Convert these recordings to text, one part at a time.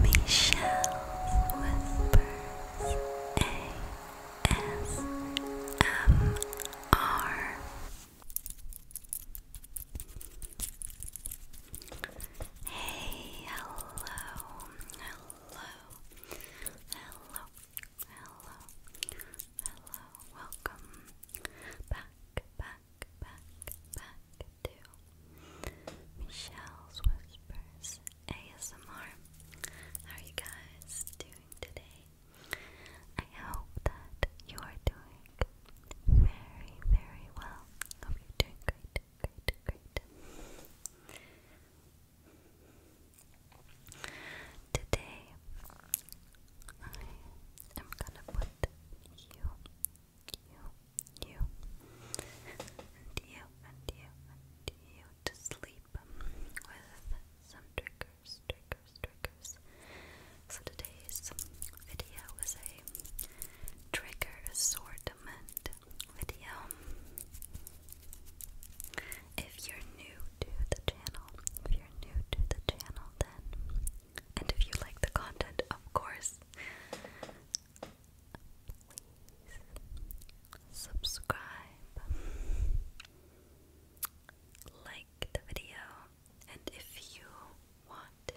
Michelle Whispers ASMR Hey, hello, hello, hello, hello, hello, welcome back, back, back, back, to Michelle's Whispers ASMR. How are you guys doing today? I hope that you are doing very, very well. Hope you're doing great, great, great. Today, I am gonna put you you, you, and you, and you, and you to sleep with some triggers, triggers, triggers. So today's video is a trigger assortment video. If you're new to the channel, if you're new to the channel, then, and if you like the content, of course, please subscribe, like the video, and if you want to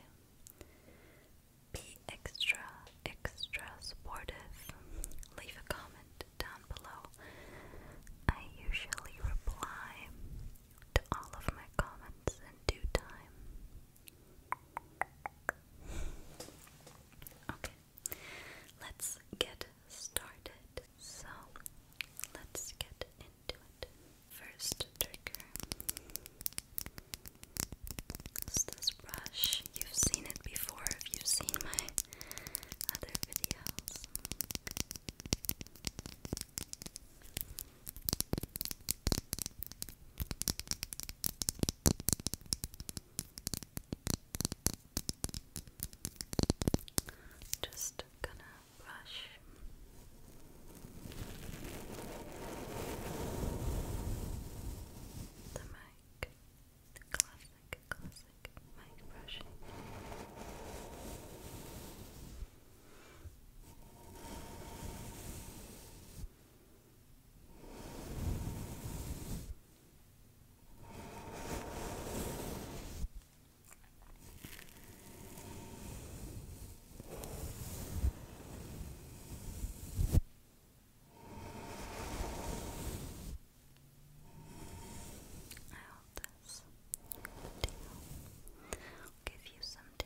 be extra, extra supportive, leave a comment down below. I usually reply to all of my comments in due time. Okay, let's get started. So, let's get into it. First trigger is this brush. You've seen it before if you've seen my other videos. Just gonna brush. The mic, classic, classic mic brushing hope this video will give you some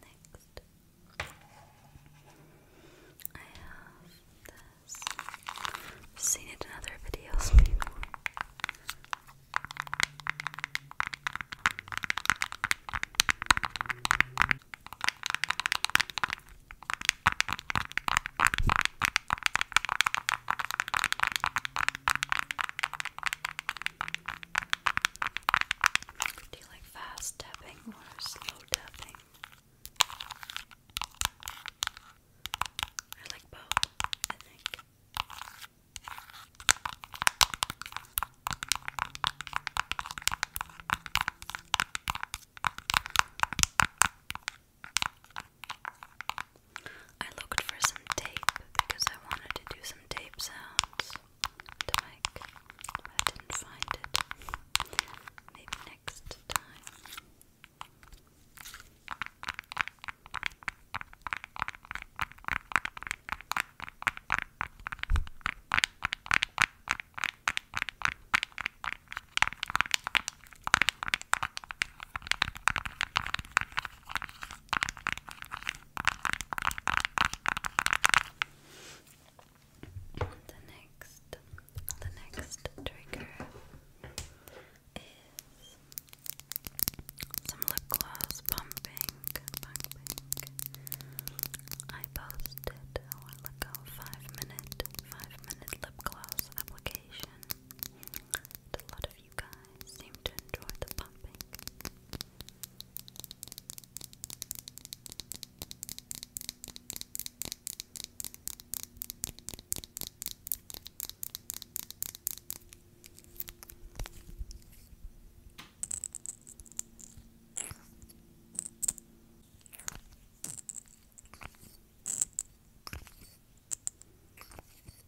next I I've seen it in other videos before. Do you like fast tapping or slow tapping? I like both, I think. I looked for some tape because I wanted to do some tape sounds to make. I didn't find it. Maybe next time. The next, the next trigger is some lip gloss pumping, I posted a while ago five minute, five minute lip gloss application of you guys seem to enjoy the pumping.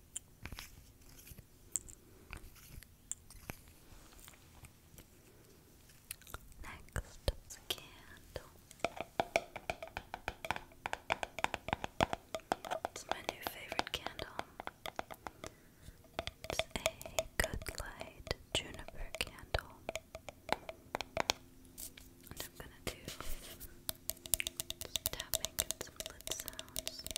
Next candle. It's my new favorite candle. It's a good light juniper candle. And I'm gonna do tapping and some sounds.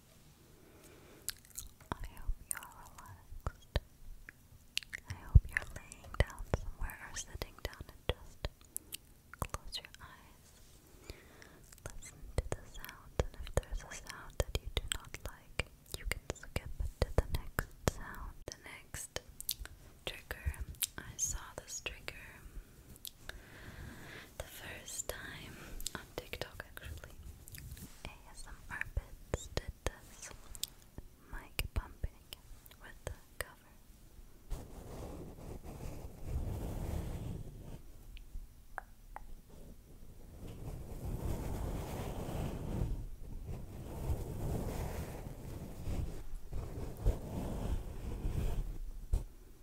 I hope you are relaxed. I hope you're laying down somewhere or sitting down and just close your eyes. Listen to the sounds, and if there's a sound that you do not like, you can skip to the next sound. The next trigger, I saw this trigger the first time on TikTok actually. ASMR Bits did this mic pumping with the cover.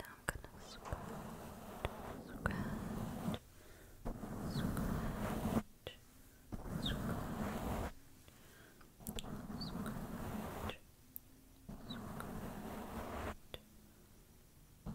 Now I'm gonna scratch, scratch, scratch, scratch, scratch. Scratch, scratch,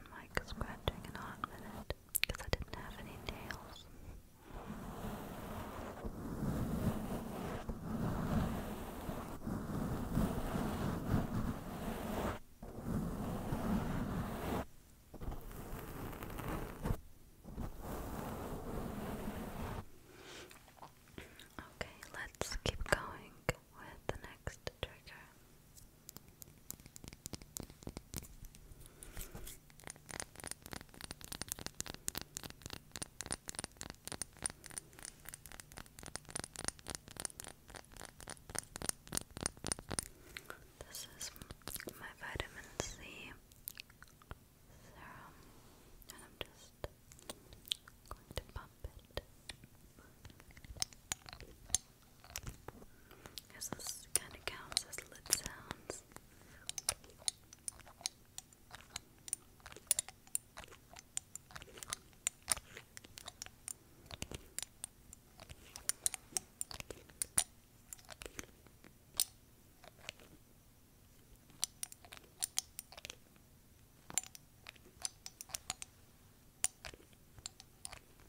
done like scratching and hot minute because I didn't have any nails. Okay, let's keep going with the next trigger. This is my vitamin C serum, and I'm just going to pump it. Because this kind of counts as lip sounds.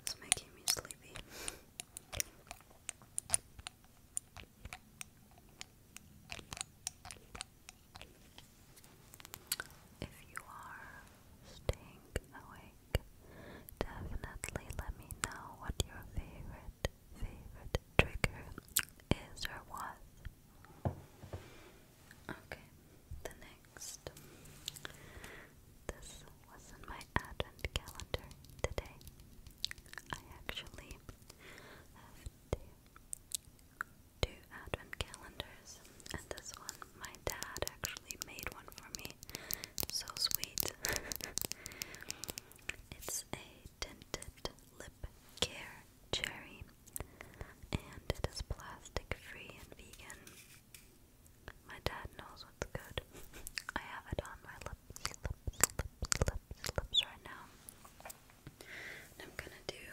It's making me sleepy. If you are staying awake, definitely let me know what your favorite favorite, trigger is or was. Okay, the next. This was in my advent calendar today. I actually have two advent calendars, and this one my dad actually made one for me. So sweet. it's a Tinted Lip Care Cherry, and it is plastic free and vegan. My dad knows what's good. I have it on my lips, lips, lips, lips, lips right now. I'm gonna do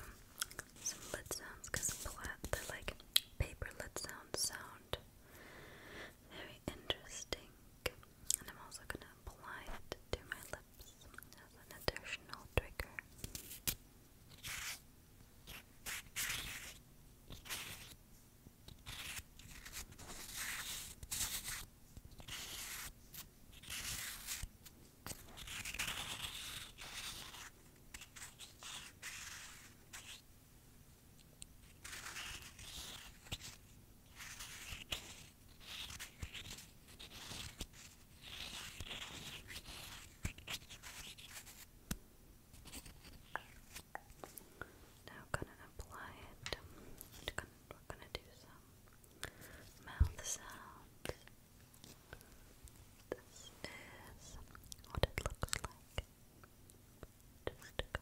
some lid sounds because the like paper lip sounds sound very interesting. And I'm also gonna apply it to my lips as an additional trigger. Now gonna apply it. We're gonna, do some mouth sounds. This is what it looks like. Just go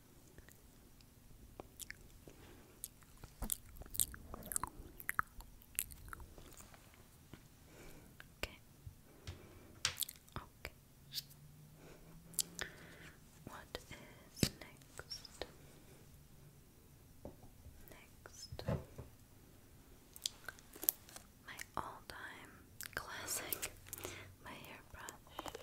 Okay. Okay. What is next? Next. My all-time classic, my hairbrush.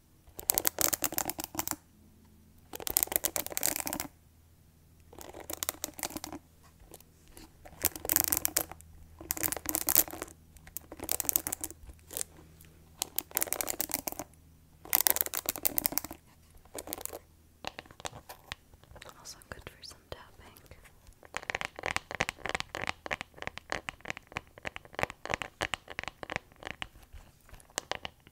Also good for some tapping.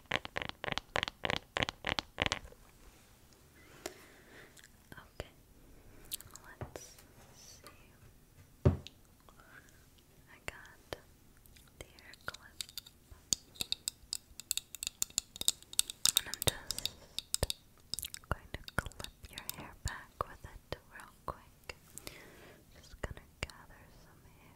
Okay, let's see. I got the hair clip, and I'm just going to clip your hair back with it real quick. Just gonna gather some hair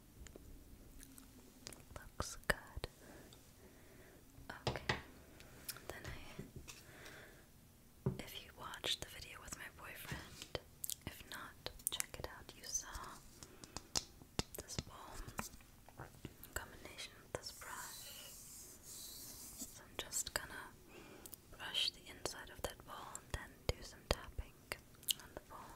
Looks good. Okay. Then I if you watched the video with my boyfriend, if not, check it out. You saw this bowl in combination with this brush. So I'm just gonna brush the inside of that bowl and then do some tapping on the bowl.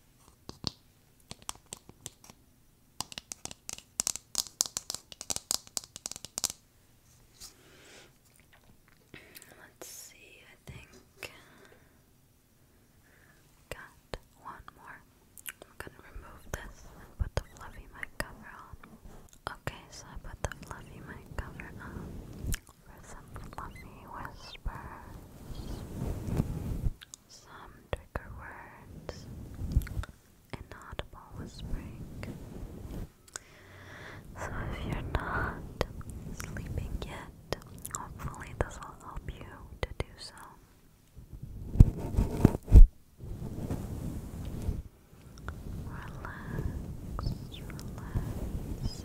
Let's see, I think got one more. I'm gonna remove this and put the fluffy mic cover on. Okay, so I put the fluffy mic cover on for some fluffy whispers, some trigger words, and not a ball inaudible whispering. So if you're not sleeping yet, hopefully this will help you to do so. Relax, relax.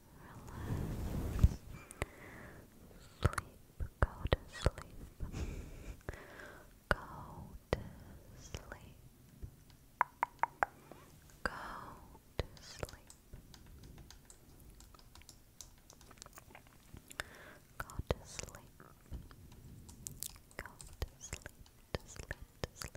Sleep, go to sleep. go to sleep. Go to sleep. Go to sleep. Go to sleep, to sleep, to sleep.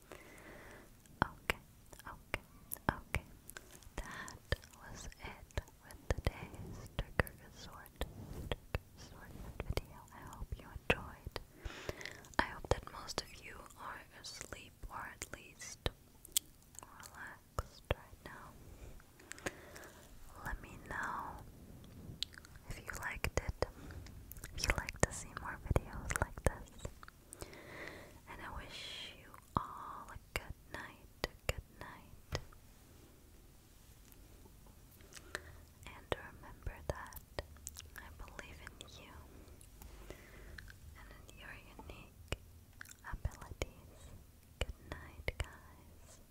Okay, okay, okay. That was it with today's trigger sort, trigger sort video. I hope you enjoyed. I hope that most of you are asleep or at least relaxed right now. Let me know if you liked it, if you like to see more videos like this. And I wish you all a good night, good night. And remember that I believe in you and in your unique abilities. Good night, guys.